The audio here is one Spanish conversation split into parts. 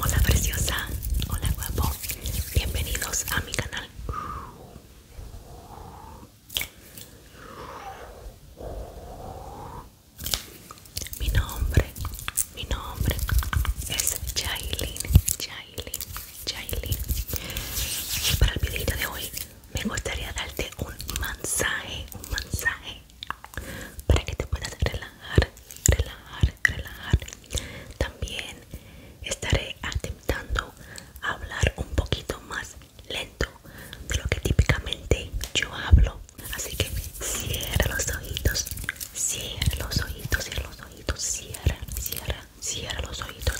Hola preciosa, hola guapo, bienvenidos a mi canal. Mi nombre mi nombre es Jailin, Jailin, Jailin. Y para el videito de hoy me gustaría darte un mensaje, un mensaje para que te puedas relajar, relajar, relajar. También estaré intentando a hablar un poquito más lento de lo que típicamente yo hablo. Así que cierra los ojitos, Cierra los ojitos, cierra los ojitos, cierra, cierra, cierra los ojitos.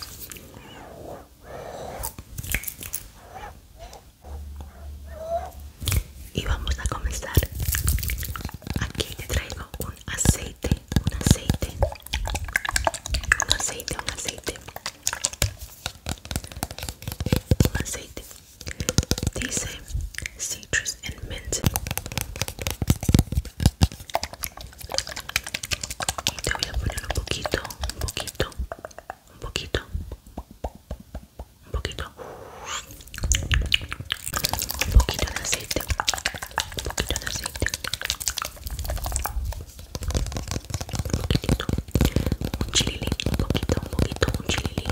Y vamos a comenzar. Aquí te traigo un aceite, un aceite, un aceite, un aceite, un aceite. Dice citrus, and mint. Y te voy a poner un poquito, un poquito, un poquito, un poquito, un poquito de aceite, un poquito de aceite, un poquitito, un chilili un poquito, un poquito, un chilili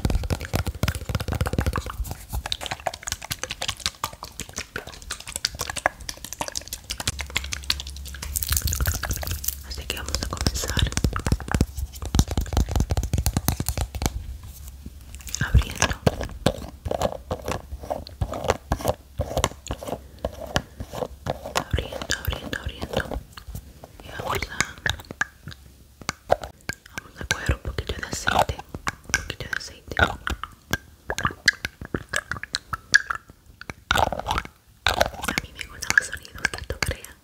Así que vamos a comenzar abriendo abriendo abriendo abriendo y vamos a Vamos a coger un poquito de aceite. Un poquito de aceite. A mi me gustan los sonidos tanto esto crea.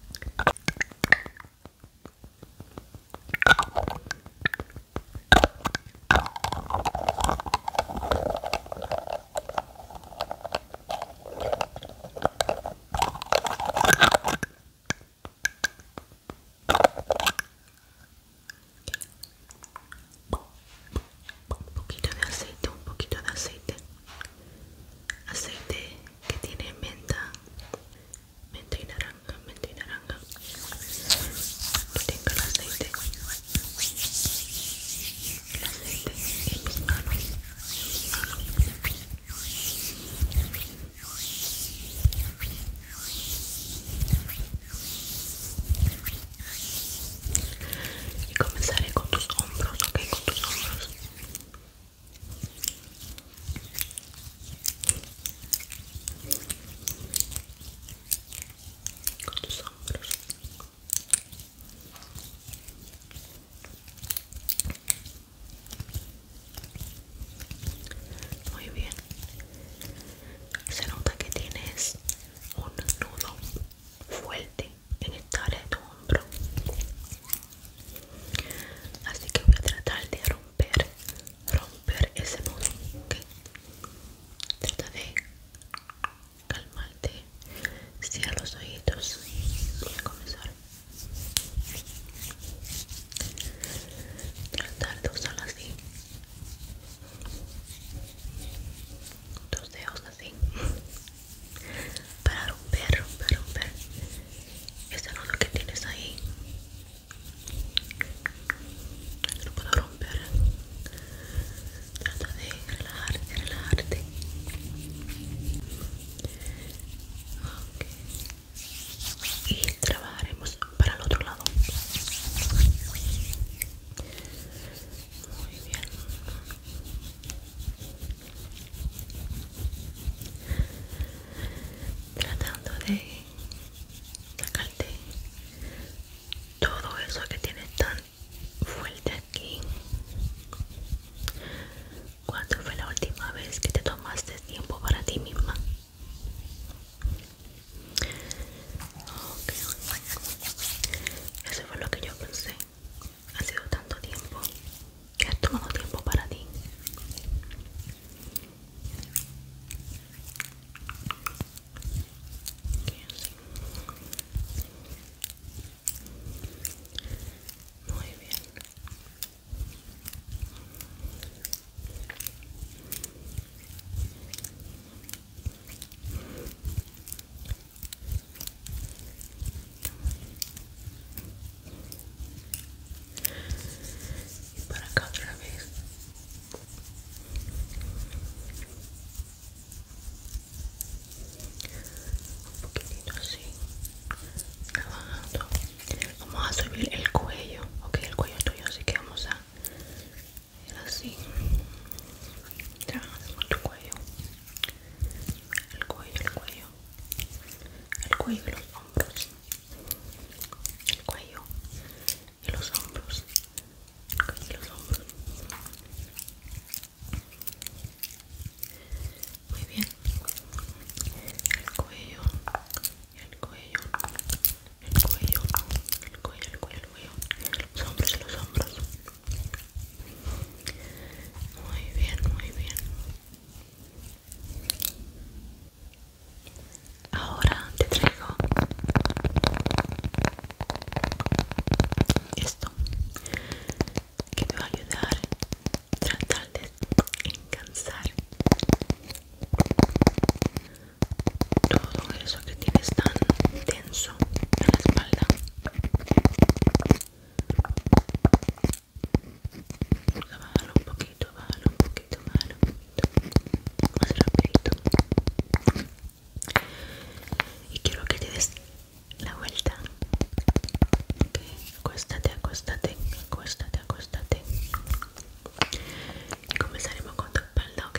Un poquito de aceite, un poquito de aceite. Aceite que tiene menta, menta y naranja, menta y naranja. Que tengo el aceite. El aceite y comenzaré con tus hombros, ok, con tus hombros. Con tus hombros. Muy bien. Se nota que tienes un nudo fuerte en esta área de tu hombro. Así que voy a tratar de romper, romper ese nudo. Trata de calmarte. Cierra los ojitos y comenzar tratar de usarlas así tus dedos así para romper romper romper ese nudo que tienes ahí lo puedo romper trata de relajarte relajarte y trabajaremos para el otro lado muy bien tratando de sacarte todo eso que tiene tan fuerte aquí ¿Cuándo fue la última vez que te tomaste tiempo para ti misma? Eso fue lo que yo pensé. Ha sido tanto tiempo que has tomado tiempo para ti. Muy bien y para acá otra vez un poquitito así vamos a subir el cuello ok el cuello tuyo así que vamos a ir así cuello el cuello el cuello el cuello y los hombros el cuello y los hombros el y los hombros muy bien el cuello el cuello el cuello el cuello el cuello el cuello los hombros los hombros muy bien muy bien ahora te traigo esto que te va a ayudar tratar de encansar todo eso que tienes tan tenso en la espalda bájalo un poquito, bájalo un poquito, bájalo un poquito más rápido y quiero que te des la vuelta. ok, acostate acostate acostate acostate Y comenzaremos con tu espalda, ok.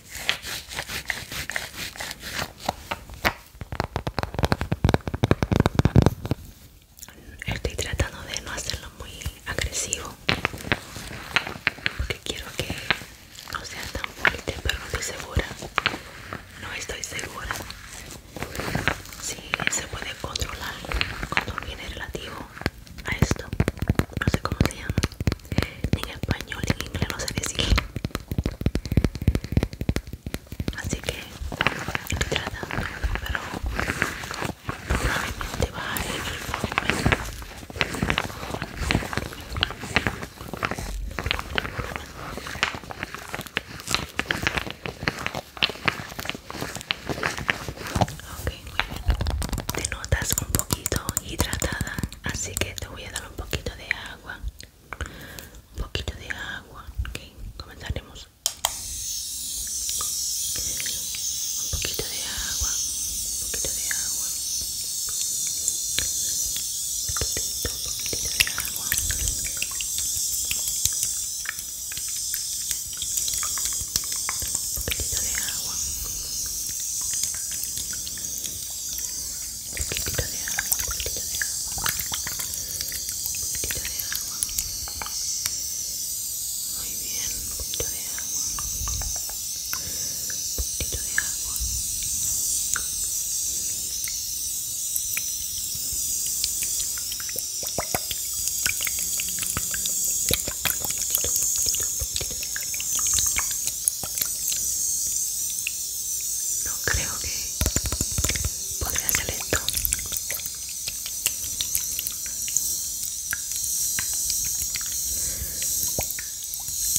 Estoy tratando de no hacerlo muy agresivo porque quiero que no sea tan fuerte, pero no estoy segura. No estoy segura si se puede controlar cuando viene relativo a esto no sé cómo se llama en español en inglés no sé decir así que estoy tratando pero probablemente bajaré el volumen Ok, Te notas un poquito hidratada, así que te voy a dar un poquito de agua. Un poquito de agua. Ok, comenzaremos. Un poquito de agua. Un poquito de agua. Un un poquito de agua. Un poquito de agua poquitito de agua, un poquitito de agua, un poquitito de agua. Muy bien, un poquito de agua, un poquitito de agua. No creo que podría hacer esto.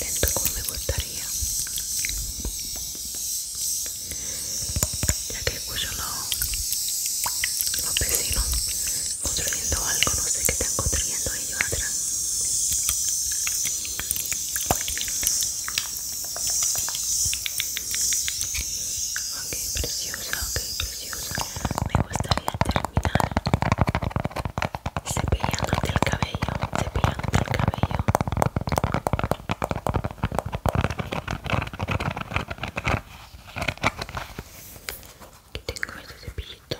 Lento como me gustaría. Ya que uso los, pecinos construyendo algo, no sé qué están construyendo ellos atrás. Ok, preciosa, ok, preciosa. Me gustaría terminar cepillándote el cabello, cepillándote el cabello que tengo este cepillito.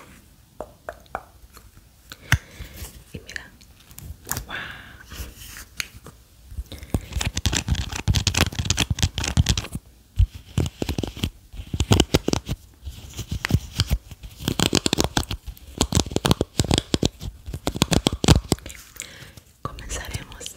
Y mira. ¡Wow! Comenzaremos.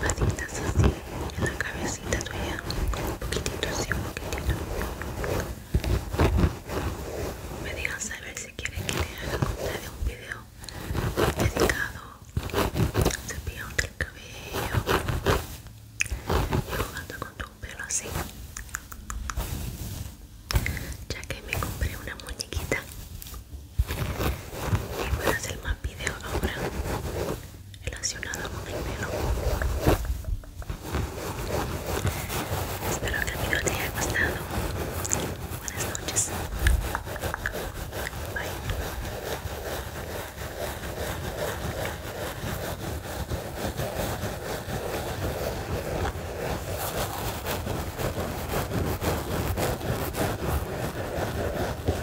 patitas así en la cabecita tuya un poquitito así un poquitito me digan saber si quieren que te haga un video dedicado cepillando el cabello y jugando con tu pelo así ya que me compré una muñequita y voy a hacer más videos ahora relacionado con el pelo. Espero que el video te haya gustado. Buenas noches. Bye.